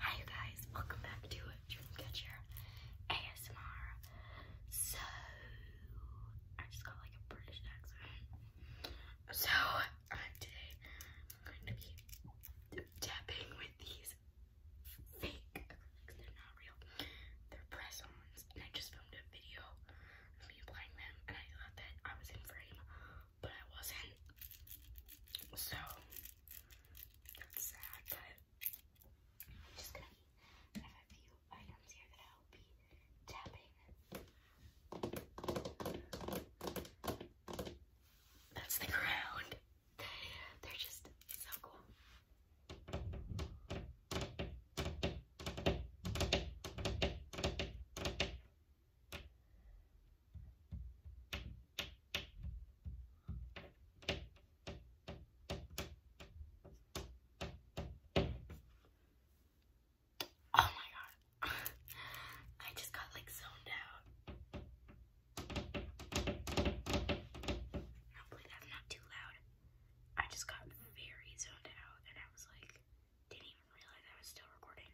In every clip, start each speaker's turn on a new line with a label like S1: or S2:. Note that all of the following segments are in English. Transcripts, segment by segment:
S1: Hi you guys, welcome back to Dreamcatcher ASMR. So, I just got like a British accent. So, today I'm going to be tapping with these fake They're not real. They're press-ons and I just filmed a video of me applying them and I thought that I was in frame but I wasn't. So that's sad, but I'm just gonna have a few items here that I'll be tapping. That's the ground. They're just so cool. Oh my god. I just got like zoned out. Hopefully that's not too loud. I just got very zoned out and I was like, didn't even realize I was still recording.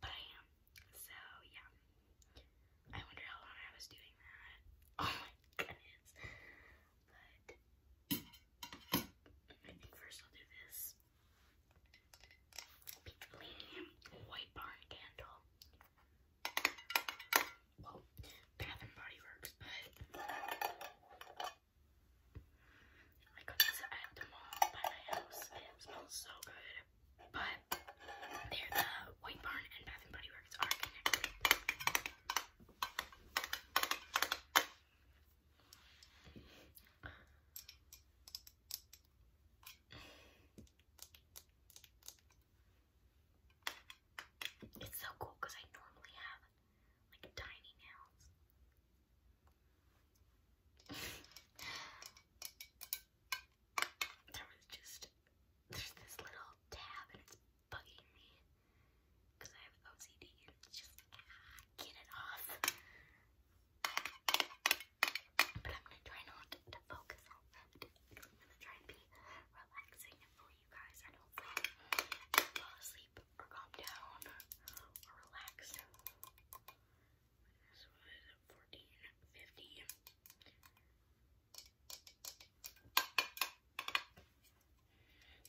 S1: But I am. So yeah. I wonder how long I was doing that. Oh my goodness. But first I'll do this. Pink white barn candle. Well, Bath and Body Works, but I got this at by my house it smells so good but they the White Barn and Bath and Body Works are connected. It's so cool because I normally have like tiny nails. there was just, there's this little tab and it's bugging me because I have OCD and it's just, ah, get it off. But I'm gonna try not to, focus on that. I'm gonna try and be relaxing for you guys and hopefully fall asleep or calm down or relax. This was 14 Here, you want to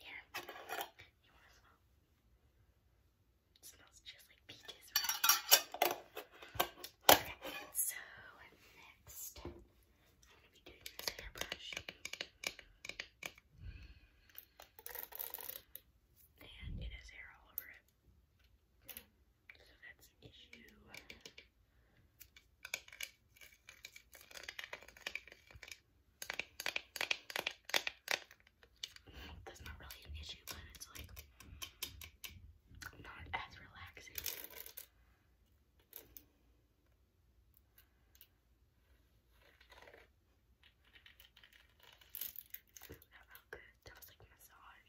S1: smell? smells just like peaches, Okay, so next, I'm going to be doing this hairbrush. And it has hair all over it. So that's issue. That's not really an issue, but it's like not as relaxing. That felt good. That was like a massage.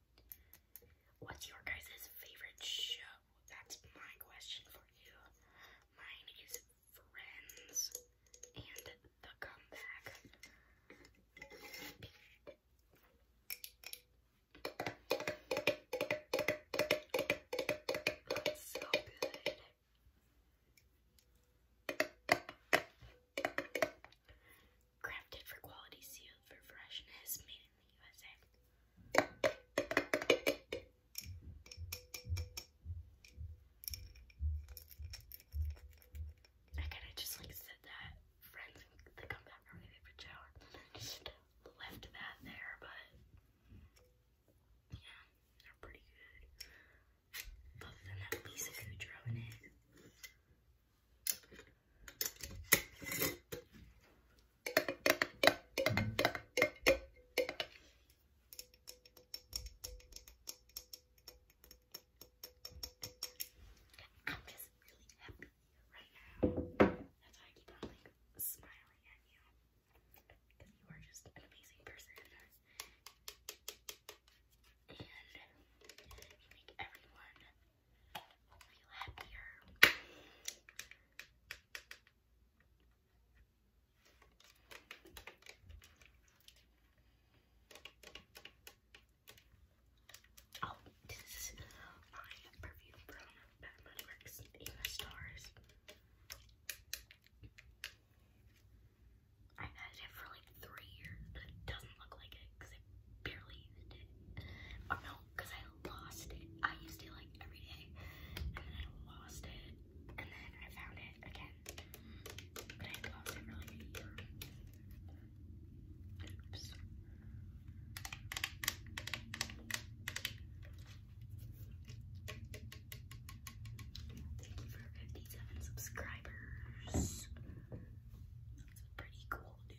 S1: What's your guys' favorite show? That's my question for you. Mine is Friends and The Comeback. That's so good. Crafted for quality, sealed for freshness, made in the USA. I kind of just like said that friends that come back from my favorite shower just left that there, but yeah, they're pretty good. Other than that piece of Goudreau in I'm just really happy right now. That's why I keep smiling at you. Because you are just an amazing person. And you make everyone feel happier. Oh, this is my perfume I've had it for like three years, but doesn't look like it because I barely used it. Or no, because I lost it. I used to like every day, and then I lost it, and then I found it again. But I lost it for Oops. Thank for 57 subscribers. That's pretty cool, dude.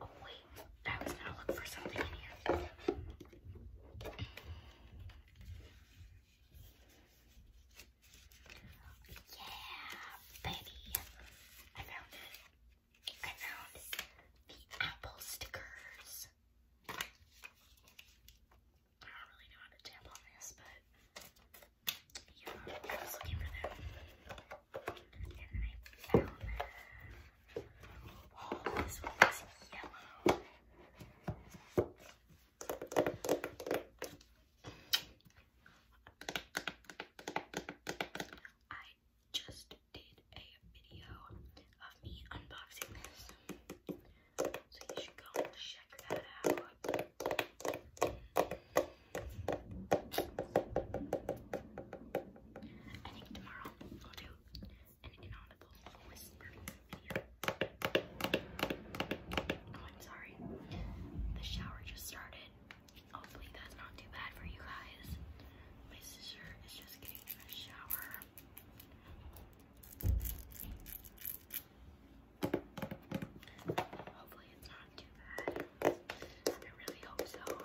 S1: Oh wait, I was gonna look for something in here. Yeah, baby. I found it. I found the apple stickers. I don't really know how to tap on this, but yeah, I was looking for them. I this one is yellow. just did a video of me unboxing this. So you should go check that out. I think tomorrow I'll do an inaudible whisper Oh, I'm sorry. The shower just started. Hopefully that's not too bad for you guys. My sister is just getting in the shower. Hopefully it's not too bad. I really hope so.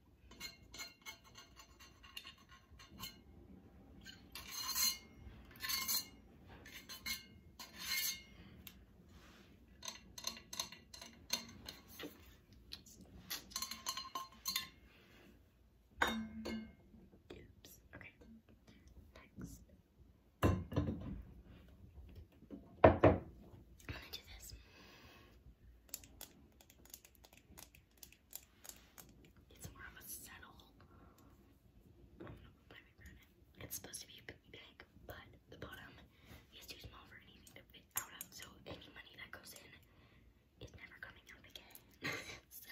S1: Oops. Okay. Next. I'm gonna do this. It's more of a settle. It's supposed to be big, but the bottom is too small for anything to fit out of. So any money that goes in is never coming out again. so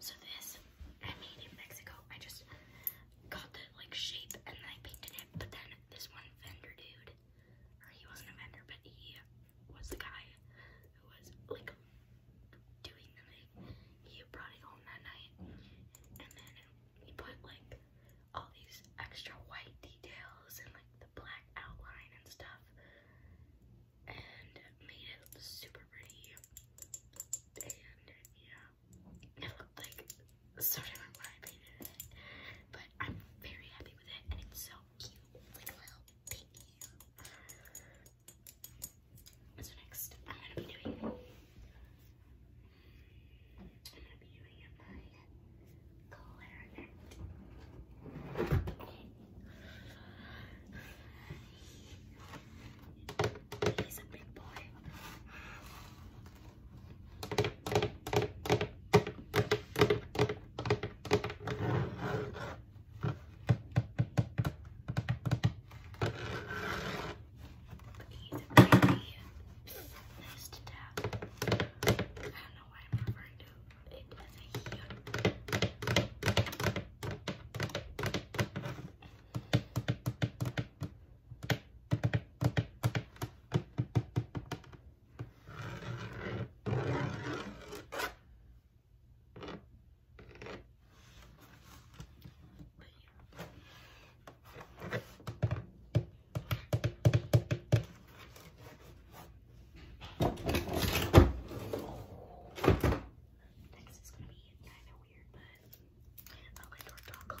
S1: so this I made in Mexico. I just got the like shape and then painted it. But then this one vendor dude, or he wasn't a vendor, but he was the guy who was like doing the thing. He brought it home that night, and then he put like all these extra white details and like the black outline and stuff and made it super pretty. And yeah, it looked like so different when I painted but I'm very happy with it and it's so cute. It's like So next, I'm gonna be doing I'm gonna be doing it by clarinet. Okay. He's a big boy. Cookies and gravy. Nice to tap. I don't know why I'm referring to it as a here. But yeah. Next is gonna be kind of weird, but I'll go dark chocolate.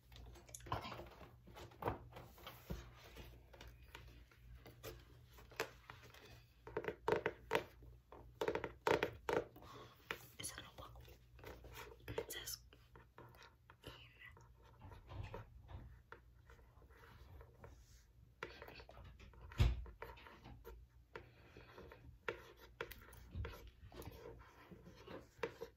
S1: Okay. It's a notebook. it says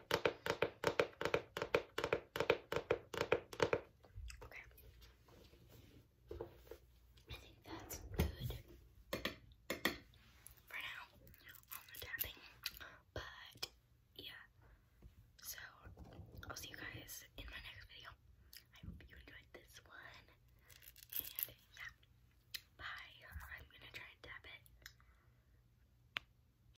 S1: Okay. I think that's good for now on the tapping. But yeah. So I'll see you guys in my next video. I hope you enjoyed this one. And yeah. Bye. I'm gonna try and it.